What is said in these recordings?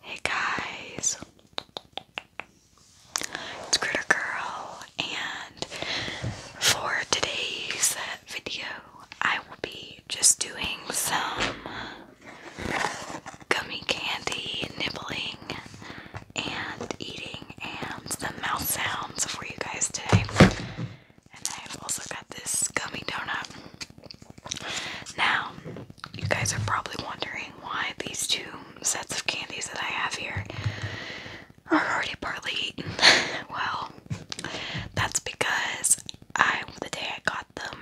Hey guys, it's Critter Girl, and for today's video, I will be just doing some gummy candy nibbling and eating and the mouth sounds for you guys today. And I've also got this gummy donut. Now, you guys are probably wondering why these two sets of candies that I have here are already partly eaten. well, that's because I, the day I got them,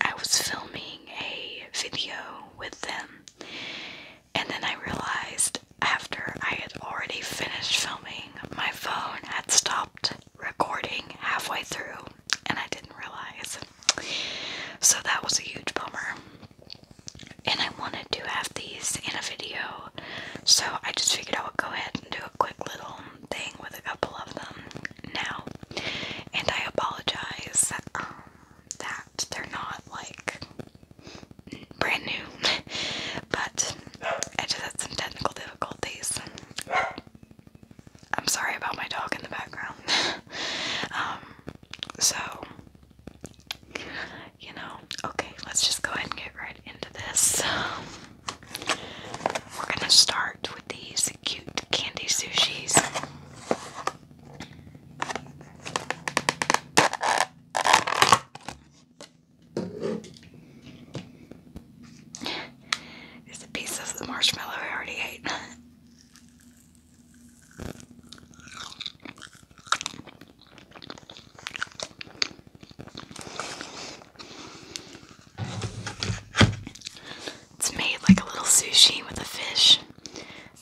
I was filming a video with them, and then I realized after I had already finished filming, my phone had stopped recording halfway through, and I didn't realize. So that was a huge bummer. And I wanted to have these in a video, so I just figured I would go ahead and do a quick little thing with a couple of them now. And I apologize um, that they're not like brand new, but I just had some technical difficulties. I'm sorry about my dog in the background. Um, so, you know, okay, let's just go ahead and get right into this. we're gonna start with these cute candy sushis. There's a piece of the marshmallow I already ate. It's made like a little sushi with a fish.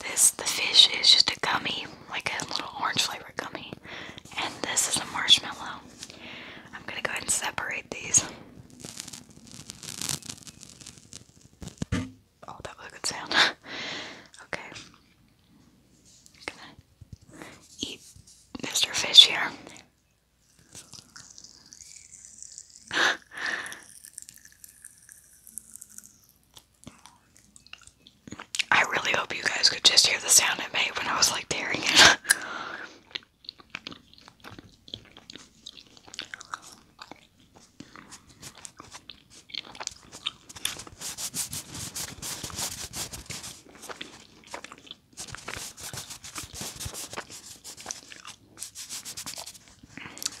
This the fish is just a gummy, like a little orange flavored gummy, and this is a marshmallow. I'm gonna go ahead and separate these. Oh, that was a good sound. okay. Gonna eat Mr. Fish here. I really hope you guys could just hear the sound it made when I was like tearing it.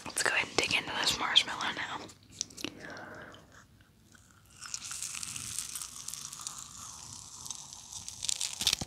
Let's go ahead and dig into this marshmallow now.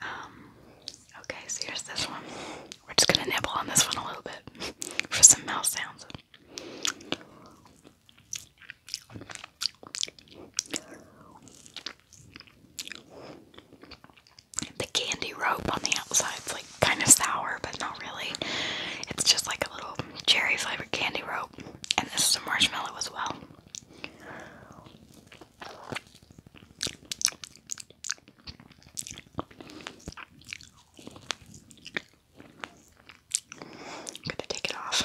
Um, okay, so here's this one. We're just gonna nibble on this one a little bit for some mouth sounds. The candy rope on the outside outside's like kind of sour, but not really. It's just like a little cherry flavored candy rope, and this is a marshmallow as well. I'm gonna take it off.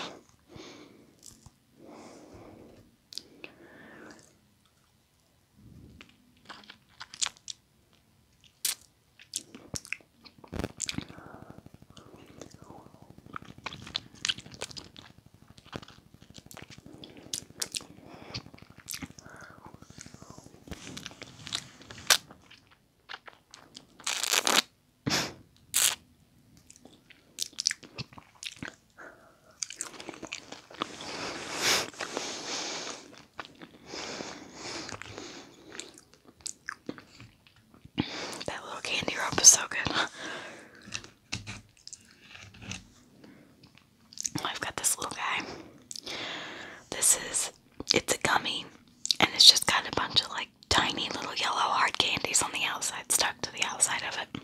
That little candy rope is so good. Oh, I've got this little guy. This is, it's a gummy, and it's just got a bunch of like tiny little yellow hard candies on the outside, stuck to the outside of it.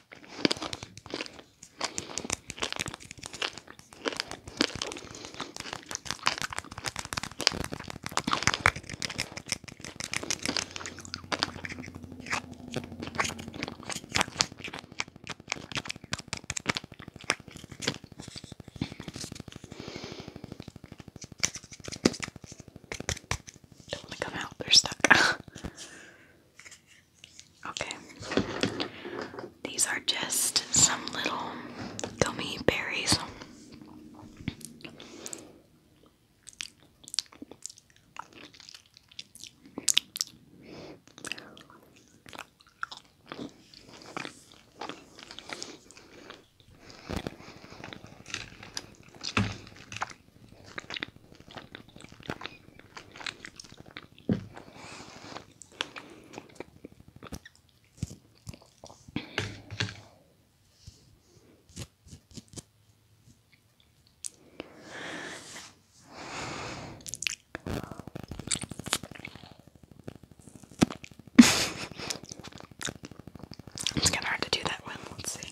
Don't want to come out, they're stuck. Okay. These are just some little gummy berries it's kind of hard to do that one. Let's see.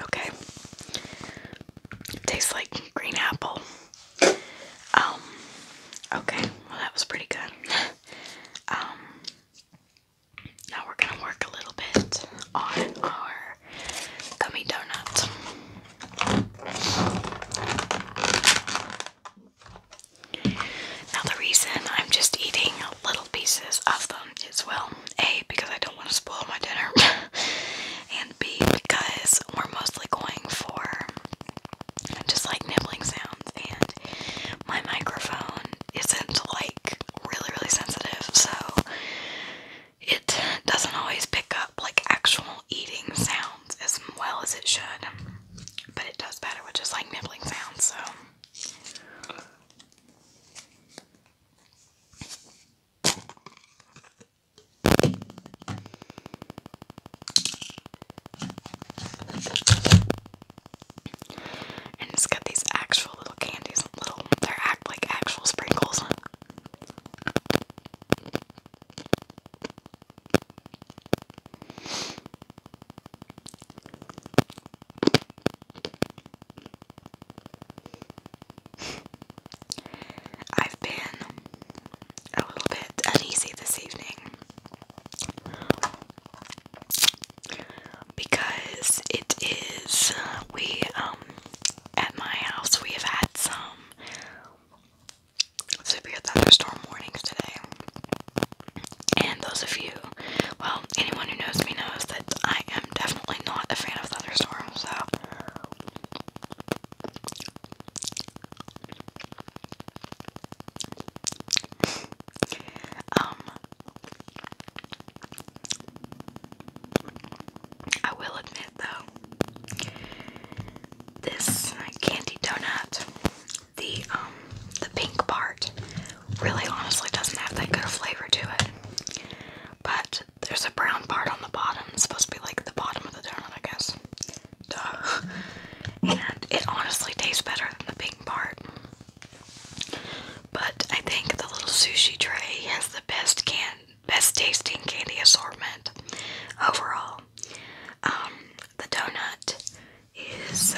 Okay. tastes like green apple. Um, okay, well that was pretty good. um, now we're gonna work a little bit on our gummy donuts. Now, the reason I'm just eating little pieces of them is well, A, because I don't want to spoil my dinner, and B, because we're mostly going for just like nibbling sounds, and my microphone isn't like really, really sensitive, so it doesn't always pick up like actual eating sounds as well as it should. But it does better with just like nibbling sounds, so and it's got these actual little candies, little they act like actual sprinkles. I've been a little bit uneasy this evening because it is we um, at my house we have had some severe thunderstorm warnings today. And those of you, well, anyone who knows me knows that I am definitely not a fan of thunderstorms, so. um, I will admit though. This candy donut, the um, the pink part, really honestly doesn't have that good flavor to it. But there's a brown part on the bottom. It's supposed to be like the bottom of the donut, I guess. Duh. And it honestly tastes better than the pink part. But I think the little sushi tray has the best can best tasting candy assortment overall. Um, the donut is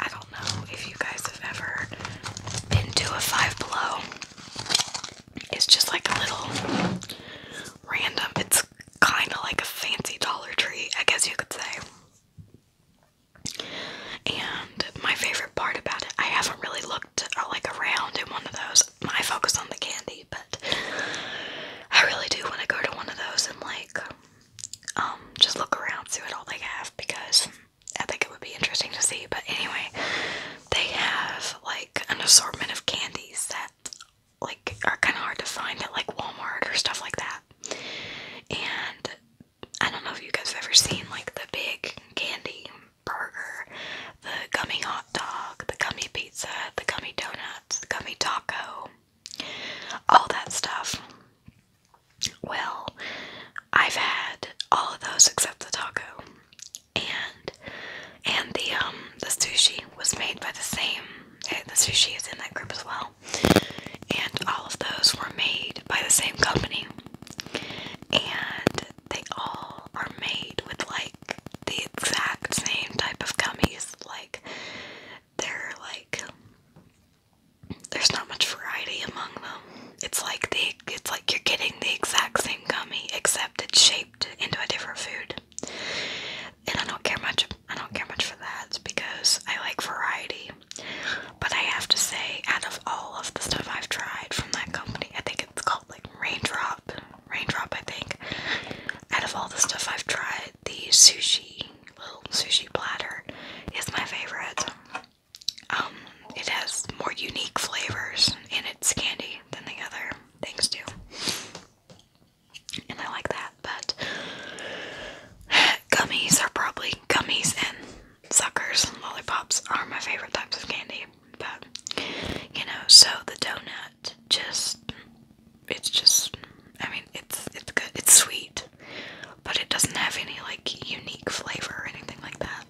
I don't know if you guys have ever been to a Five Below. It's just like a little random. It's kind of like a fancy Dollar Tree, I guess you could say. And my favorite part about it, I haven't really looked uh, like around in one of those. I focus on the candy but I really do want to go to one of those and like um just look around, through it all they have because I think it would be interesting to see. But anyway, they have like an assortment of candies that like are kind of hard to find at like Walmart or stuff like that. And I don't know if you guys have ever seen like the big candy burger, the gummy hot dog, the gummy pizza, the gummy donuts, the gummy taco, all that stuff. Well, I've had all of those except the taco. And and the um the sushi was made by the same eh, the sushi is in that group as well. And all of those were made by the same company. And they all are made with like the exact same type of gummies. Like they're like there's not much variety among them. It's like the it's like you're getting the exact same gummy except it's shaped into a different food. And I don't care much I don't care much for that because I like variety. But I have to say, out of all of the stuff I've tried from that company, I think it's called like Raindrop raindrop, I think. Out of all the stuff I've tried, the sushi little sushi platter is my favorite. Um, it has more unique flavors in its candy than the other things do. And I like that, but gummies are probably gummies and suckers and lollipops are my favorite types of candy but you know, so the donut just it's just I mean it's it's good it's sweet, but it doesn't have any like unique flavor or anything like that.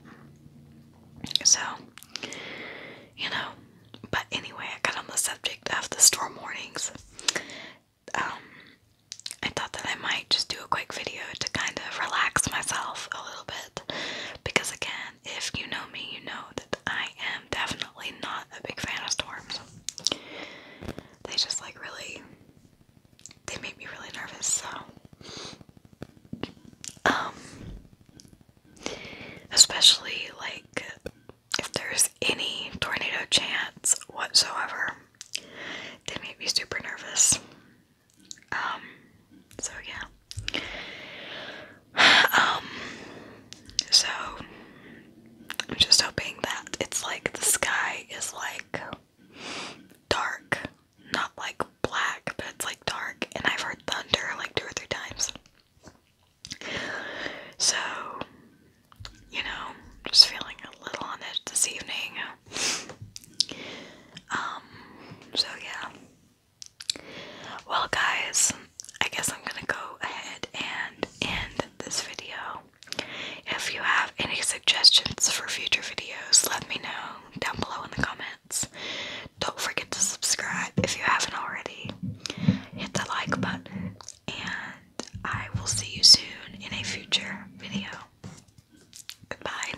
So you know, but anyway, I got on the subject of the store mornings. Um, I thought that I might just do a quick video to kind of relax myself a little bit because, again, if you know me, you know that I am definitely not a big fan of storms. They just like really, they make me really nervous, so. Um, especially like if there's any tornado chance whatsoever, they make me super nervous. Um, so yeah. Um, so I'm just hoping that it's like the sky is like dark, not like black, but it's like dark. And I've heard thunder like two or three times. So, you know, just feeling a little on it this evening. Um, so yeah. Well, guys, I guess I'm gonna go ahead and end this video. If you have any suggestions for future videos, let me know down below in the comments. Don't forget to subscribe if you haven't already. Hit the like button, and I will see you soon in a future video. Goodbye.